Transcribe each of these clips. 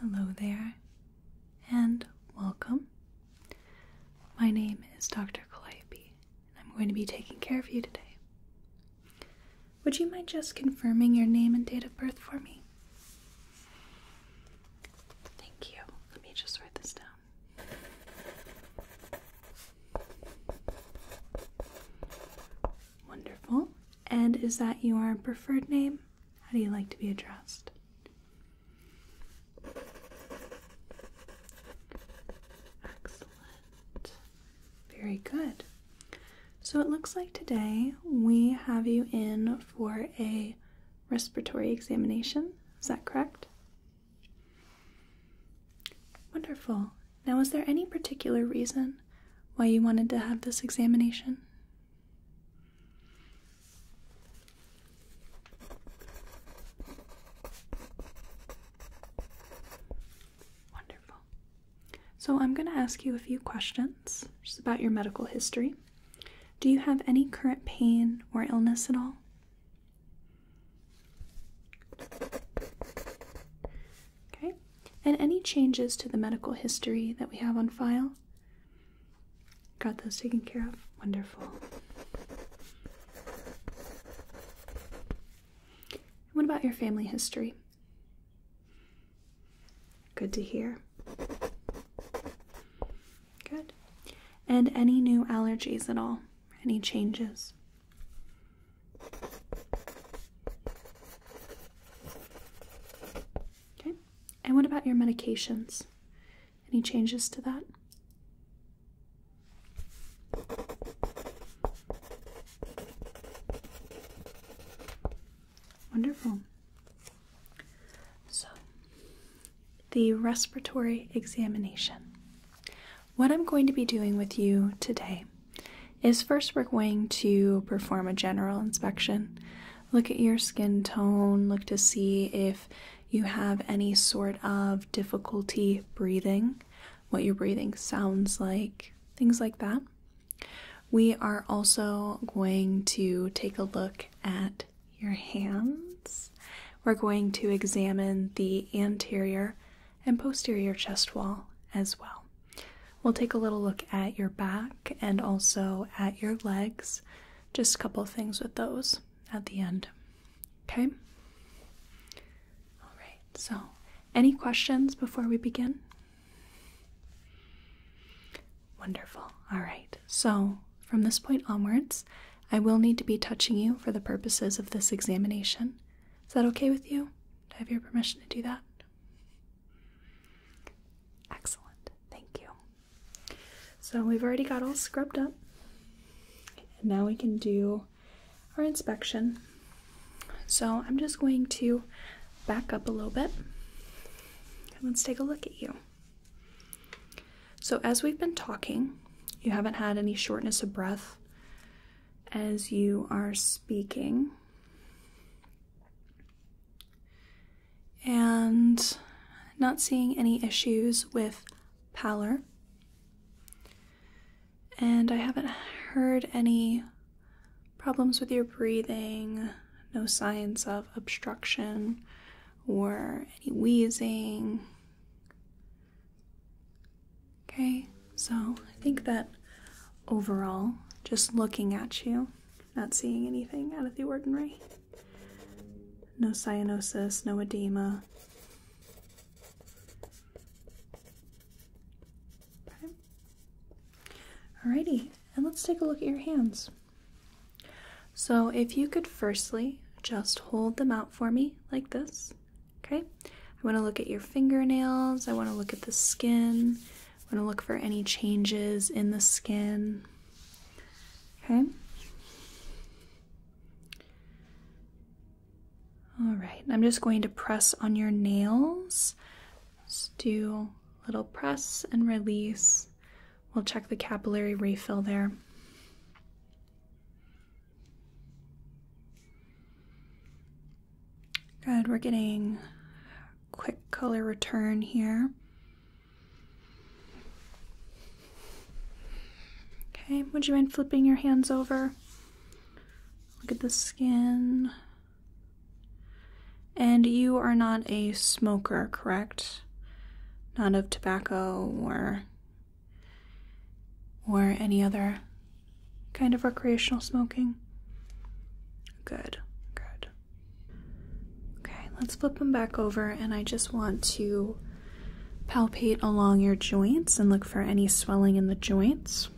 Hello there, and welcome. My name is Dr. Calliope, and I'm going to be taking care of you today. Would you mind just confirming your name and date of birth for me? Thank you. Let me just write this down. Wonderful. And is that your preferred name? How do you like to be addressed? Excellent. Very good. So it looks like today we have you in for a respiratory examination. Is that correct? Wonderful. Now, is there any particular reason why you wanted to have this examination? Wonderful. So, I'm going to ask you a few questions just about your medical history. Do you have any current pain or illness at all? Okay, and any changes to the medical history that we have on file? Got those taken care of? Wonderful. What about your family history? Good to hear. Good. And any new allergies at all? Any changes? Okay, and what about your medications? Any changes to that? Wonderful. So, the respiratory examination. What I'm going to be doing with you today is first we're going to perform a general inspection. Look at your skin tone, look to see if you have any sort of difficulty breathing, what your breathing sounds like, things like that. We are also going to take a look at your hands. We're going to examine the anterior and posterior chest wall as well. We'll take a little look at your back and also at your legs. Just a couple things with those at the end. Okay? All right. So, any questions before we begin? Wonderful. All right. So, from this point onwards, I will need to be touching you for the purposes of this examination. Is that okay with you? Do I have your permission to do that? Excellent. Thank you. So we've already got all scrubbed up. And now we can do our inspection. So I'm just going to back up a little bit and let's take a look at you. So, as we've been talking, you haven't had any shortness of breath as you are speaking and not seeing any issues with pallor. And I haven't heard any problems with your breathing, no signs of obstruction or any wheezing. Okay, so I think that overall, just looking at you, not seeing anything out of the ordinary. No cyanosis, no edema. Alrighty, and let's take a look at your hands. So, if you could firstly just hold them out for me like this, okay? I want to look at your fingernails, I want to look at the skin. I'm going to look for any changes in the skin. Okay. All right, I'm just going to press on your nails. Just do little press and release. We'll check the capillary refill there. Good, we're getting quick color return here. Okay, would you mind flipping your hands over? Look at the skin. And you are not a smoker, correct? Not of tobacco or or any other kind of recreational smoking? Good, good. Okay, let's flip them back over, and I just want to palpate along your joints and look for any swelling in the joints.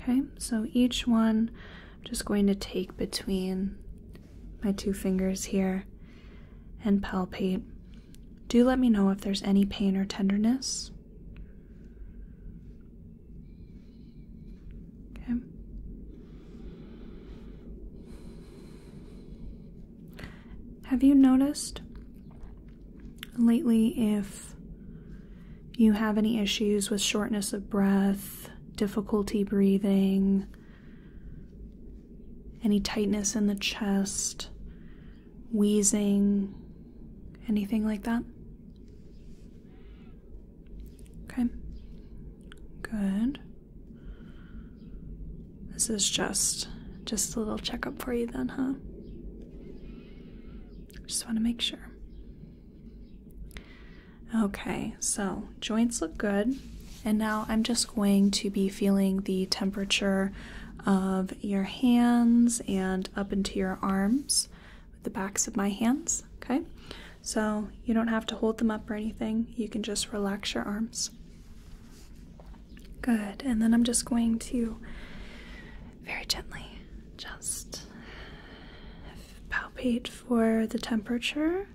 Okay, so each one just going to take between my two fingers here and palpate. Do let me know if there's any pain or tenderness. Okay. Have you noticed lately if you have any issues with shortness of breath, difficulty breathing, any tightness in the chest, wheezing, anything like that? Okay. Good. This is just just a little checkup for you then, huh? Just want to make sure. Okay, so joints look good. And now I'm just going to be feeling the temperature of your hands and up into your arms the backs of my hands, okay? So you don't have to hold them up or anything. You can just relax your arms. Good. And then I'm just going to very gently just palpate for the temperature.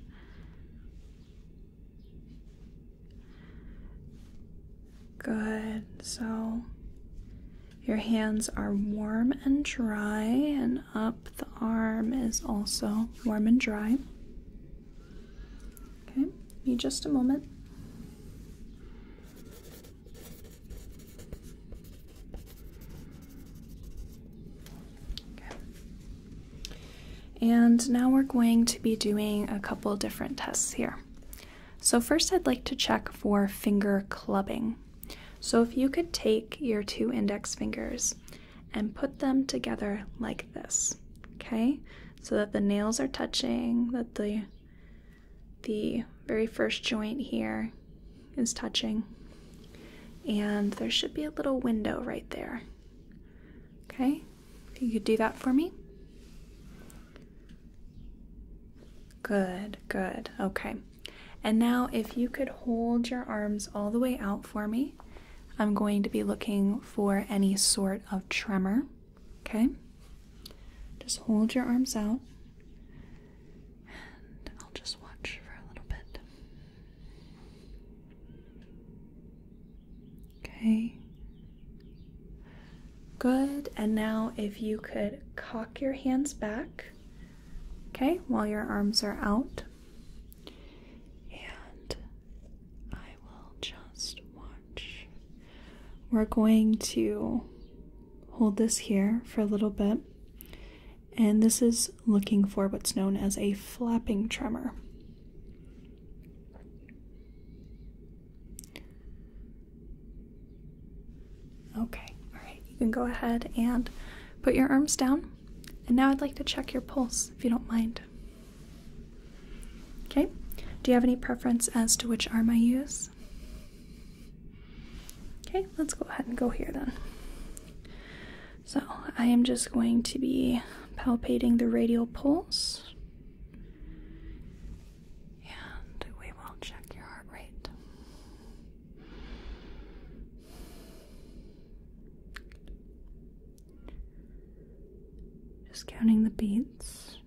Good. So your hands are warm and dry, and up the arm is also warm and dry. Okay, need just a moment. And now we're going to be doing a couple different tests here. So, first, I'd like to check for finger clubbing. So if you could take your two index fingers and put them together like this, okay? So that the nails are touching, that the the very first joint here is touching. And there should be a little window right there. Okay? you could do that for me. Good, good. Okay. And now, if you could hold your arms all the way out for me, I'm going to be looking for any sort of tremor. Okay? Just hold your arms out. And I'll just watch for a little bit. Okay. Good. And now, if you could cock your hands back Okay, while your arms are out. And I will just watch. We're going to hold this here for a little bit. And this is looking for what's known as a flapping tremor. Okay, alright, you can go ahead and put your arms down. And now I'd like to check your pulse if you don't mind. Okay, do you have any preference as to which arm I use? Okay, let's go ahead and go here then. So I am just going to be palpating the radial pulse. And we will check your heart rate. Just counting the beads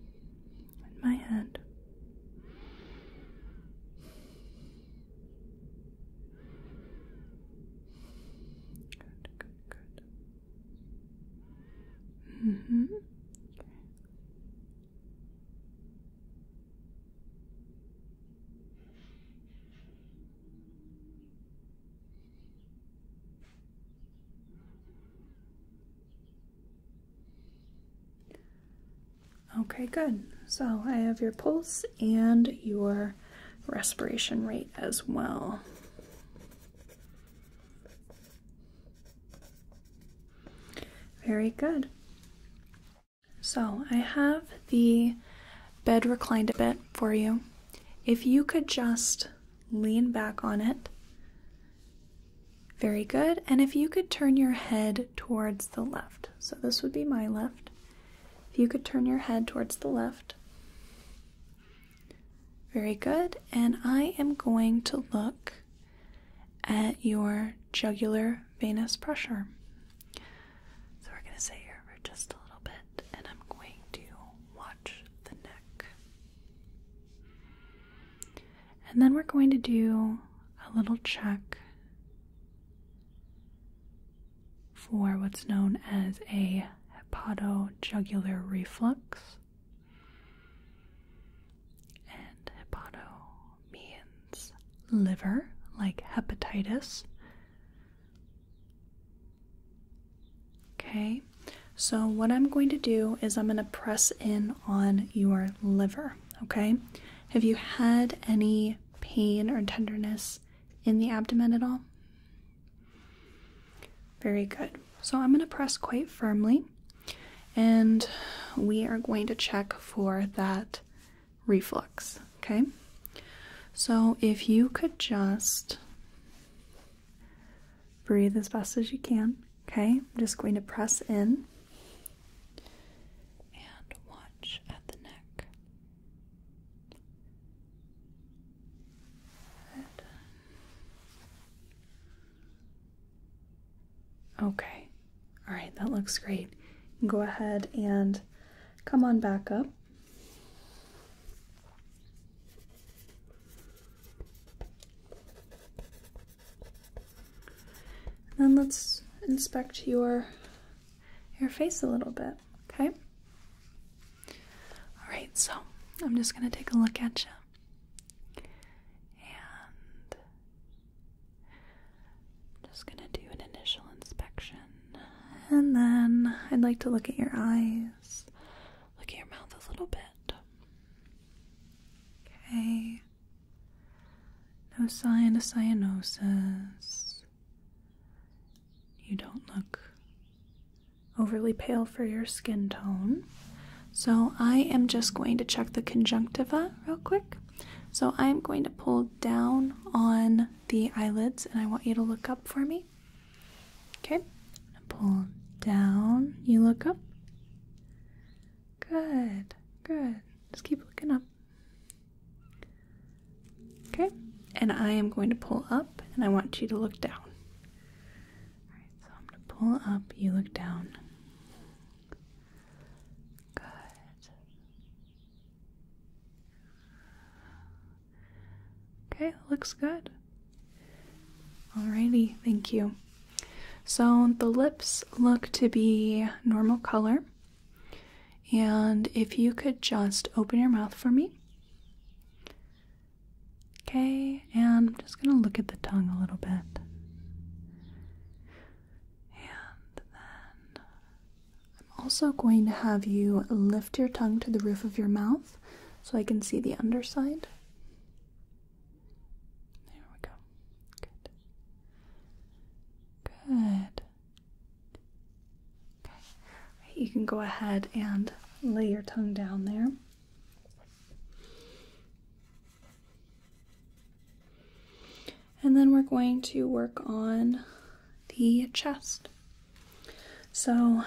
in my hand. Good, good, good. hmm. Okay. Okay, good. So I have your pulse and your respiration rate as well. Very good. So I have the bed reclined a bit for you. If you could just lean back on it. Very good. And if you could turn your head towards the left. So this would be my left. If you could turn your head towards the left. Very good. And I am going to look at your jugular venous pressure. So we're going to sit here for just a little bit and I'm going to watch the neck. And then we're going to do a little check for what's known as a hepatojugular reflux. And hepato liver, like hepatitis. Okay, so what I'm going to do is I'm going to press in on your liver. Okay, have you had any pain or tenderness in the abdomen at all? Very good. So I'm going to press quite firmly and we are going to check for that reflux. Okay, so if you could just breathe as best as you can. Okay, I'm just going to press in and watch at the neck. Okay, all right, that looks great. Go ahead and come on back up. then let's inspect your your face a little bit, okay? All right, so I'm just going to take a look at you. I'm just gonna do an initial inspection and then I'd like to look at your eyes, look at your mouth a little bit. Okay. No sign of cyanosis. You don't look overly pale for your skin tone. So I am just going to check the conjunctiva real quick. So I'm going to pull down on the eyelids and I want you to look up for me. Okay. Pull down. You look up. Good. Good. Just keep looking up. Okay. And I am going to pull up and I want you to look down. so I'm going to pull up, you look down. Good. Okay, looks good. Alrighty, thank you. So the lips look to be normal color. And if you could just open your mouth for me. Okay, and I'm just going to look at the tongue a little bit. And then I'm also going to have you lift your tongue to the roof of your mouth so I can see the underside. There we go. Good. Good. Okay. you can go ahead and lay your tongue down there. And then we're going to work on the chest. So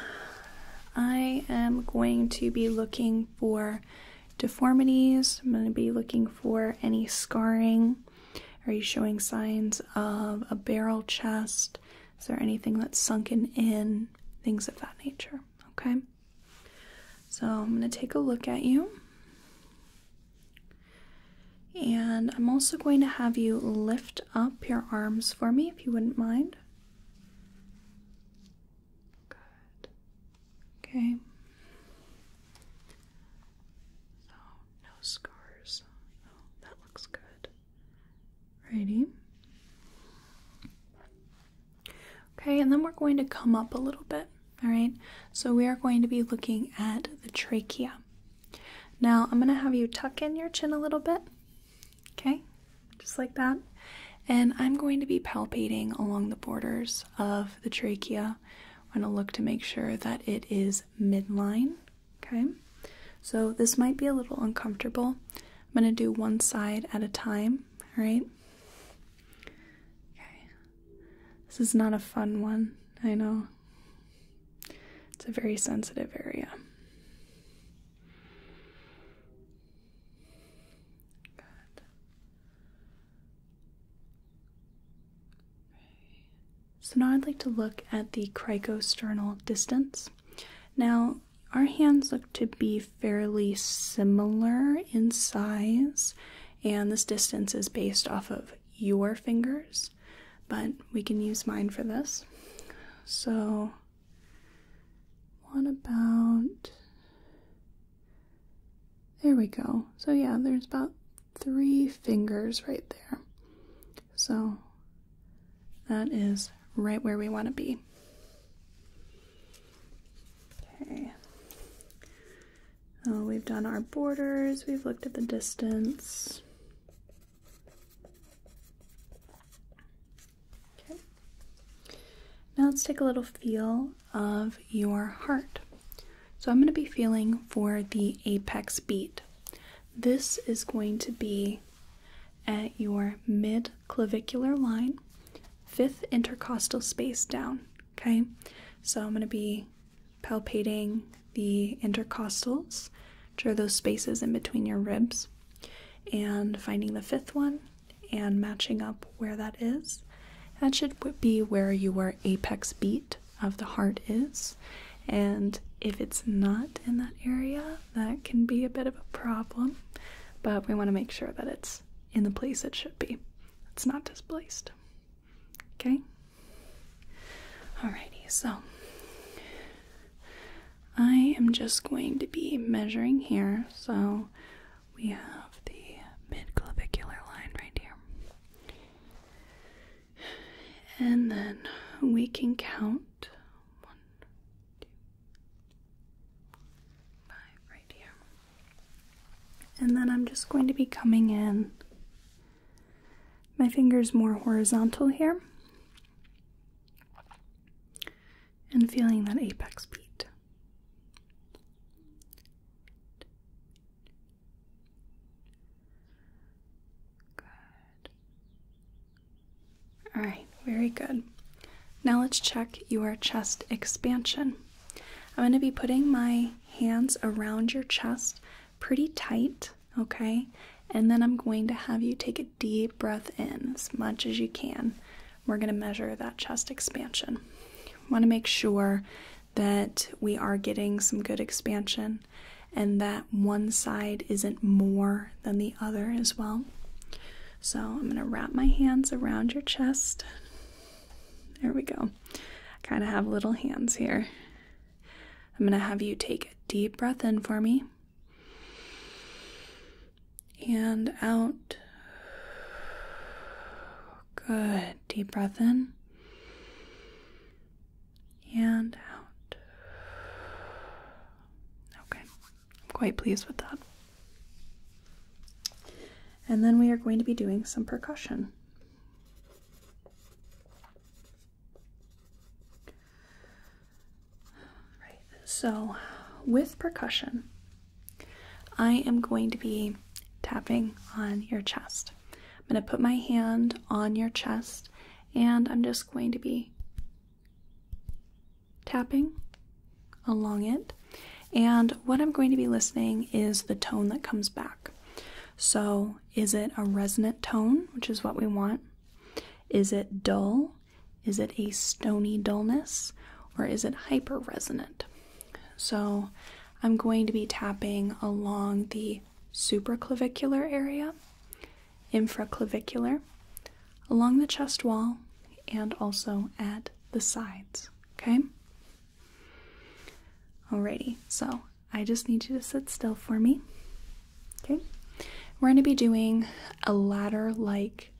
I am going to be looking for deformities. I'm going to be looking for any scarring. Are you showing signs of a barrel chest? Is there anything that's sunken in? Things of that nature. Okay. So I'm going to take a look at you. And I'm also going to have you lift up your arms for me if you wouldn't mind. Good. Okay. So, no scars. that looks good. Righty. Okay, and then we're going to come up a little bit. All right, so we are going to be looking at the trachea. Now, I'm going to have you tuck in your chin a little bit, okay, just like that. And I'm going to be palpating along the borders of the trachea. I'm going to look to make sure that it is midline, okay. So, this might be a little uncomfortable. I'm going to do one side at a time, all right. Okay, this is not a fun one, I know. It's a very sensitive area. So now I'd like to look at the crico-sternal distance. Now, our hands look to be fairly similar in size and this distance is based off of your fingers, but we can use mine for this. So, what about. There we go. So, yeah, there's about three fingers right there. So, that is right where we want to be. Okay. Oh, we've done our borders, we've looked at the distance. Okay. Now let's take a little feel of your heart. So I'm going to be feeling for the apex beat. This is going to be at your mid clavicular line, fifth intercostal space down. Okay, so I'm going to be palpating the intercostals, which are those spaces in between your ribs, and finding the fifth one and matching up where that is. That should be where your apex beat of the heart is. And if it's not in that area, that can be a bit of a problem. But we want to make sure that it's in the place it should be. It's not displaced. Okay? Alrighty, so I am just going to be measuring here. So we have the midclavicular line right here. And then we can count one, two, five right here. And then I'm just going to be coming in. My fingers more horizontal here. And feeling that apex beat. Good. All right, very good. Now let's check your chest expansion. I'm going to be putting my hands around your chest pretty tight, okay? And then I'm going to have you take a deep breath in as much as you can. We're going to measure that chest expansion. Want to make sure that we are getting some good expansion and that one side isn't more than the other as well. So I'm going to wrap my hands around your chest. There we go. I kind of have little hands here. I'm going to have you take a deep breath in for me and out. Good. Deep breath in and out. Okay. I'm quite pleased with that. And then we are going to be doing some percussion. Right, so with percussion, I am going to be tapping on your chest. I'm going to put my hand on your chest and I'm just going to be tapping along it. And what I'm going to be listening is the tone that comes back. So, is it a resonant tone, which is what we want? Is it dull? Is it a stony dullness? Or is it hyper resonant? So, I'm going to be tapping along the supraclavicular area, infraclavicular, along the chest wall, and also at the sides. Okay? Alrighty, so I just need you to sit still for me. Okay, we're going to be doing a ladder like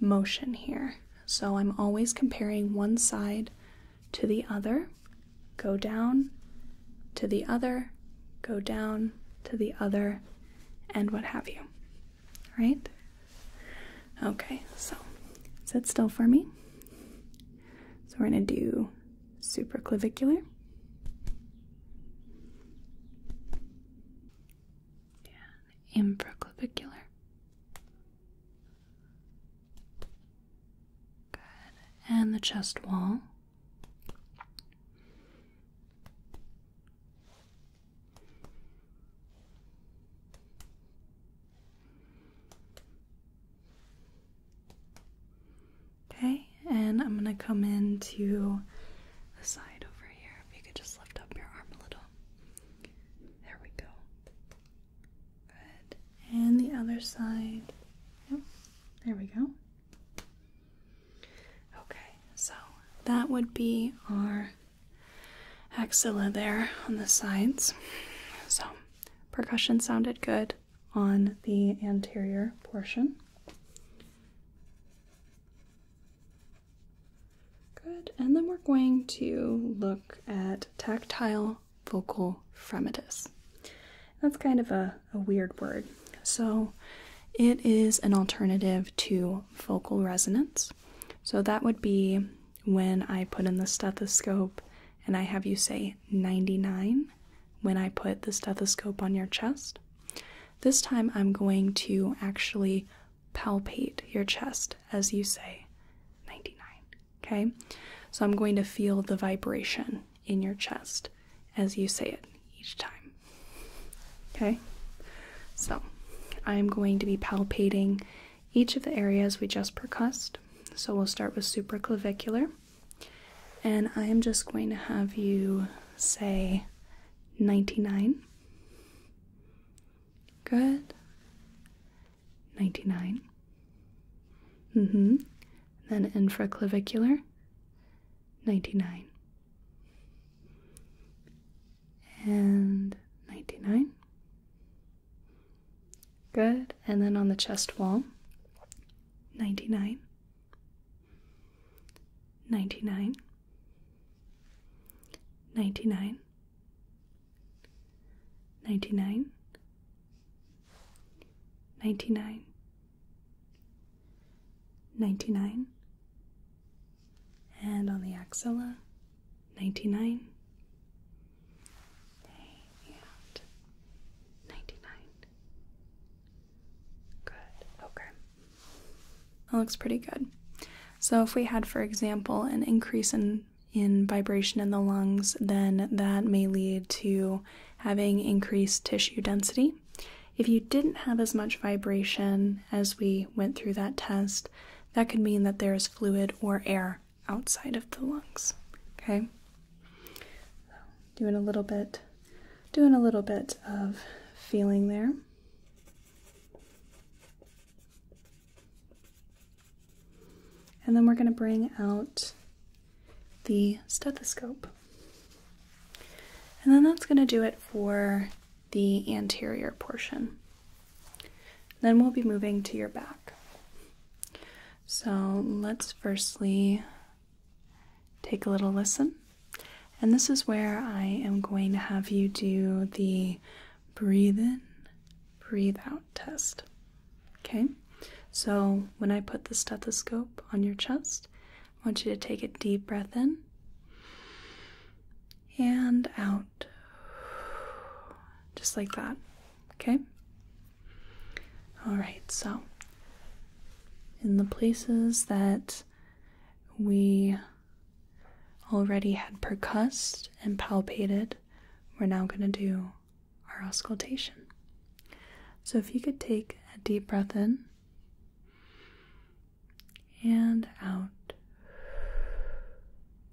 motion here. So I'm always comparing one side to the other, go down to the other, go down to the other, and what have you. Right. Okay, so sit still for me. So we're going to do supraclavicular. And Good. And the chest wall. Okay, and I'm gonna come into the side over here. If you could just lift up your arm a little. There we go. Good. And the other side. There we go. Okay, so that would be our axilla there on the sides. So, percussion sounded good on the anterior portion. Good, and then we're going to look at tactile vocal fremitus. That's kind of a, weird word. So, it is an alternative to vocal resonance. So, that would be when I put in the stethoscope and I have you say 99 when I put the stethoscope on your chest. This time I'm going to actually palpate your chest as you say 99. Okay? So I'm going to feel the vibration in your chest as you say it each time. Okay? So I'm going to be palpating each of the areas we just percussed. So we'll start with supraclavicular. And I am just going to have you say 99. Good. 99. Mm hmm. Then infraclavicular. 99 and 99. Good. And then on the chest wall, 99, 99, 99, 99, 99, 99. And on the axilla, ninety-nine. Good. Okay. That looks pretty good. So if we had, for example, an increase in in vibration in the lungs, then that may lead to having increased tissue density. If you didn't have as much vibration as we went through that test, that could mean that there is fluid or air outside of the lungs. Okay, doing a little bit, doing a little bit of feeling there. And then we're going to bring out the stethoscope. And then that's going to do it for the anterior portion. Then we'll be moving to your back. So let's firstly take a little listen. And this is where I am going to have you do the breathe in, breathe out test. Okay? So when I put the stethoscope on your chest, I want you to take a deep breath in and out. Just like that. Okay? Alright, so in the places that we already had percussed and palpated, we're now going to do our auscultation. So if you could take a deep breath in and out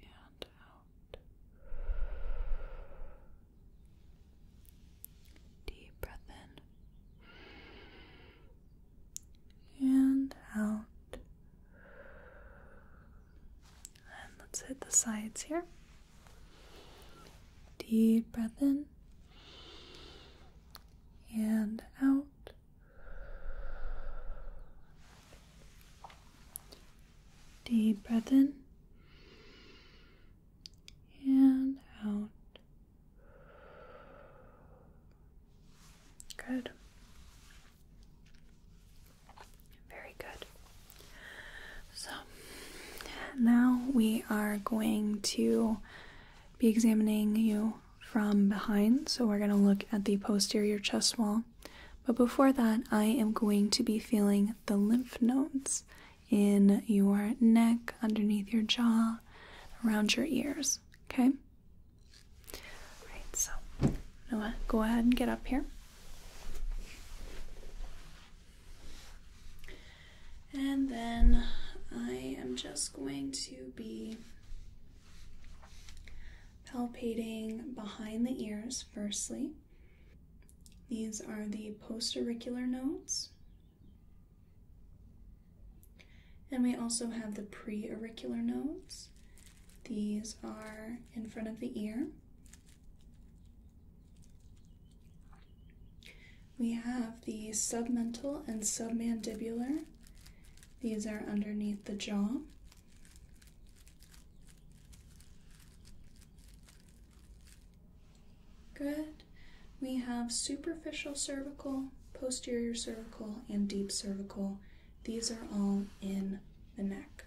and out. Deep breath in and out. And let's hit the sides here. Deep breath in and out. Deep breath in and out. Good. Very good. So now we are going to be examining you from behind. So we're going to look at the posterior chest wall but before that, I am going to be feeling the lymph nodes in your neck, underneath your jaw, around your ears. Okay? Alright, so Noah, go ahead and get up here. And then I am just going to be palpating behind the ears firstly. These are the postauricular nodes. And we also have the preauricular nodes. These are in front of the ear. We have the submental and submandibular. These are underneath the jaw. Good. We have superficial cervical, posterior cervical, and deep cervical. These are all in the neck.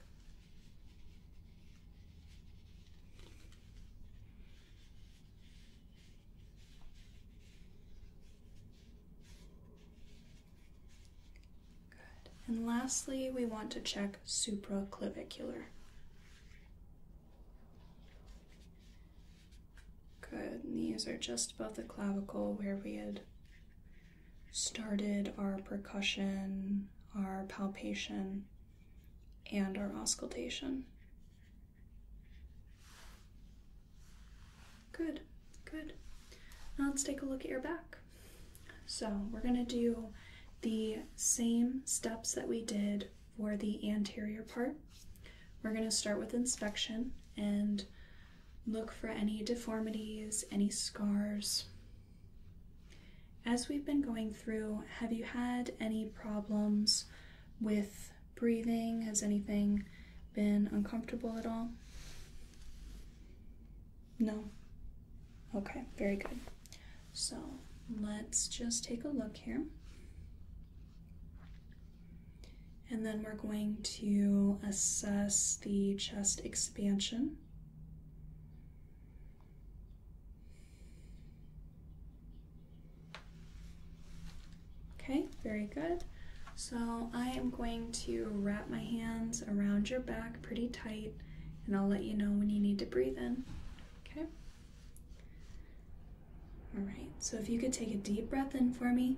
And lastly, we want to check supraclavicular. Good. these are just above the clavicle where we had started our percussion, our palpation, and our auscultation. Good, good. Now let's take a look at your back. So we're going to do the same steps that we did for the anterior part. We're going to start with inspection and look for any deformities, any scars. As we've been going through, have you had any problems with breathing? Has anything been uncomfortable at all? No? Okay, very good. So let's just take a look here. And then we're going to assess the chest expansion. Okay, very good. So I am going to wrap my hands around your back pretty tight and I'll let you know when you need to breathe in. Okay? All right, so if you could take a deep breath in for me.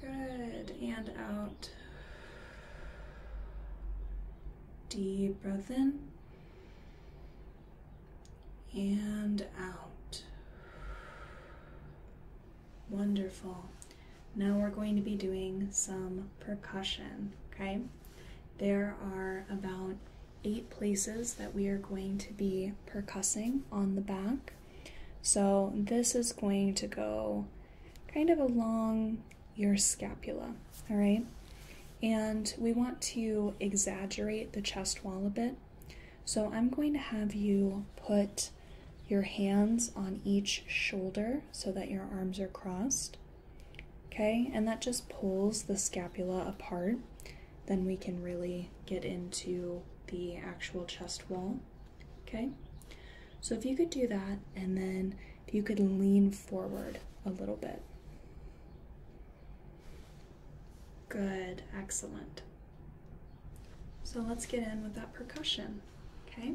Good, and out. Deep breath in. And out. Wonderful. Now we're going to be doing some percussion, okay? There are about eight places that we are going to be percussing on the back. So this is going to go kind of along your scapula, all right? And we want to exaggerate the chest wall a bit. So I'm going to have you put your hands on each shoulder so that your arms are crossed. Okay, and that just pulls the scapula apart. Then we can really get into the actual chest wall. Okay, so if you could do that, and then if you could lean forward a little bit. Good, excellent. So let's get in with that percussion, okay?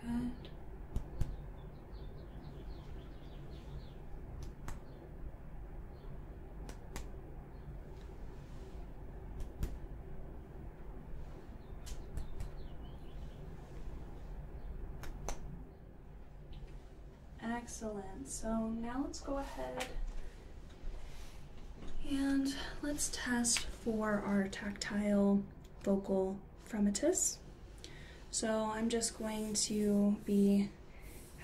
Good. Excellent. So now let's go ahead and let's test for our tactile vocal fremitus. So I'm just going to be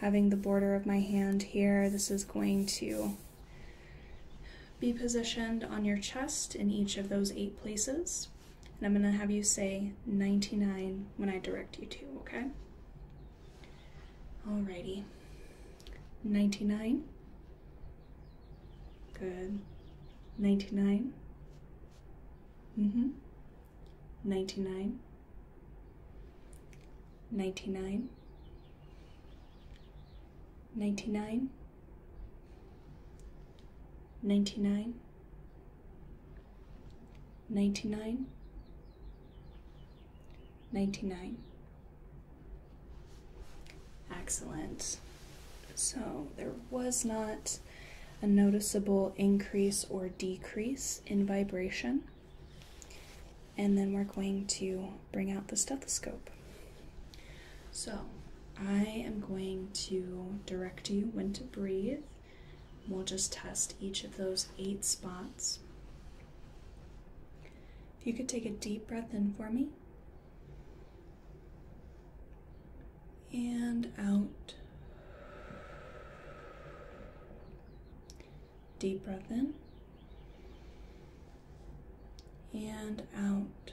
having the border of my hand here. This is going to be positioned on your chest in each of those eight places. And I'm going to have you say 99 when I direct you to, okay? Alrighty. 99. Good. 99. Mm-hmm. 99. 99. 99. 99. 99. 99. Excellent. So there was not a noticeable increase or decrease in vibration. And then we're going to bring out the stethoscope. So I am going to direct you when to breathe. We'll just test each of those eight spots. If you could take a deep breath in for me and out. Deep breath in and out.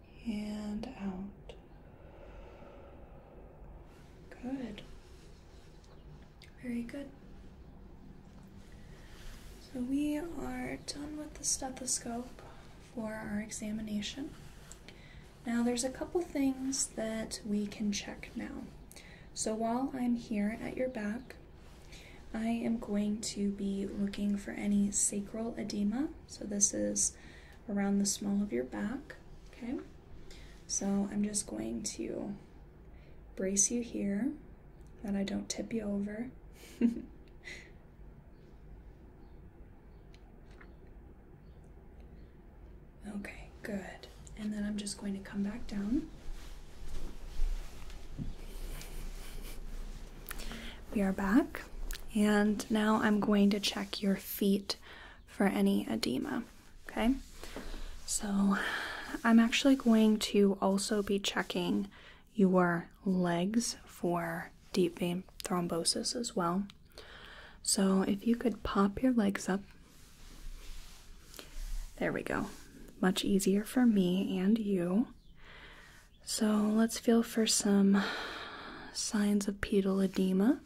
and out. Good. Very good. So we are done with the stethoscope for our examination. Now there's a couple things that we can check now. So while I'm here at your back, I am going to be looking for any sacral edema. So this is around the small of your back, okay? So I'm just going to brace you here, that I don't tip you over. okay, good. And then I'm just going to come back down. We are back. And now I'm going to check your feet for any edema. Okay, so I'm actually going to also be checking your legs for deep vein thrombosis as well. So if you could pop your legs up. There we go. Much easier for me and you. So let's feel for some signs of pedal edema.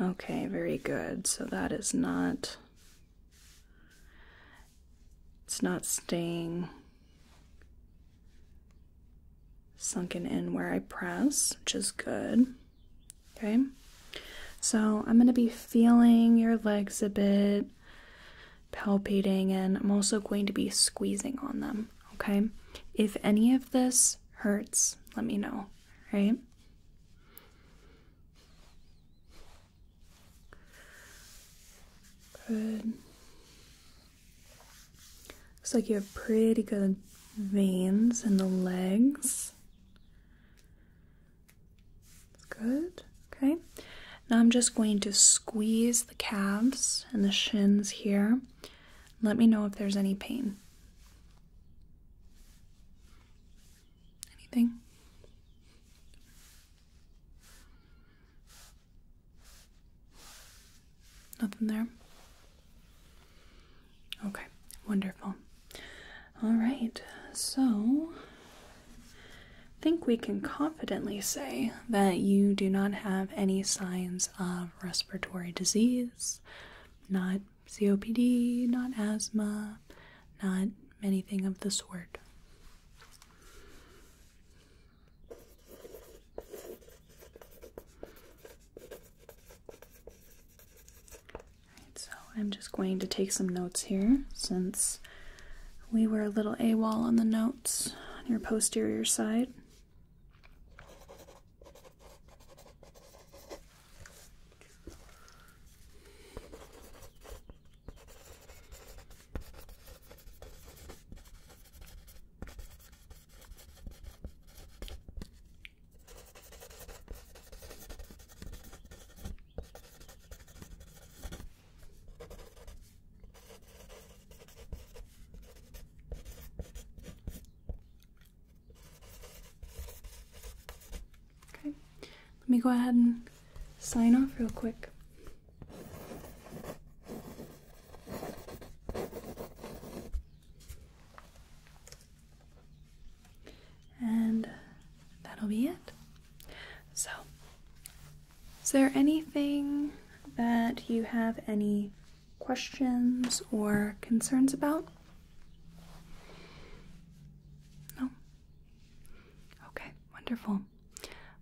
Okay, very good. So that is not it's not staying sunken in where I press, which is good. Okay. So I'm going to be feeling your legs a bit palpating, and I'm also going to be squeezing on them, okay? If any of this hurts, let me know, right? Good. Looks like you have pretty good veins in the legs. That's good. Okay. Now I'm just going to squeeze the calves and the shins here. Let me know if there's any pain. Anything? Nothing there? Okay, wonderful. All right, so I think we can confidently say that you do not have any signs of respiratory disease, not COPD, not asthma, not anything of the sort. so I'm just going to take some notes here since we were a little AWOL on the notes on your posterior side. Okay, let me go ahead and sign off real quick and that'll be it. So, is there anything that you have any questions or concerns about? No? Okay, wonderful.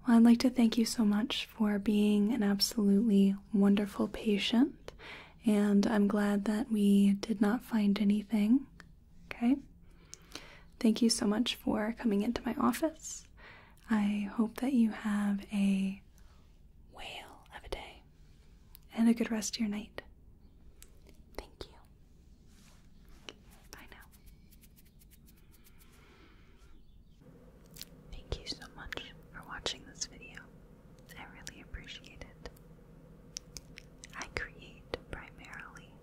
Well, I'd like to thank you so much for being an absolutely wonderful patient, and I'm glad that we did not find anything Okay? Thank you so much for coming into my office. I hope that you have a whale of a day and a good rest of your night. Thank you. Bye now. Thank you so much for watching this video. I really appreciate it. I create primarily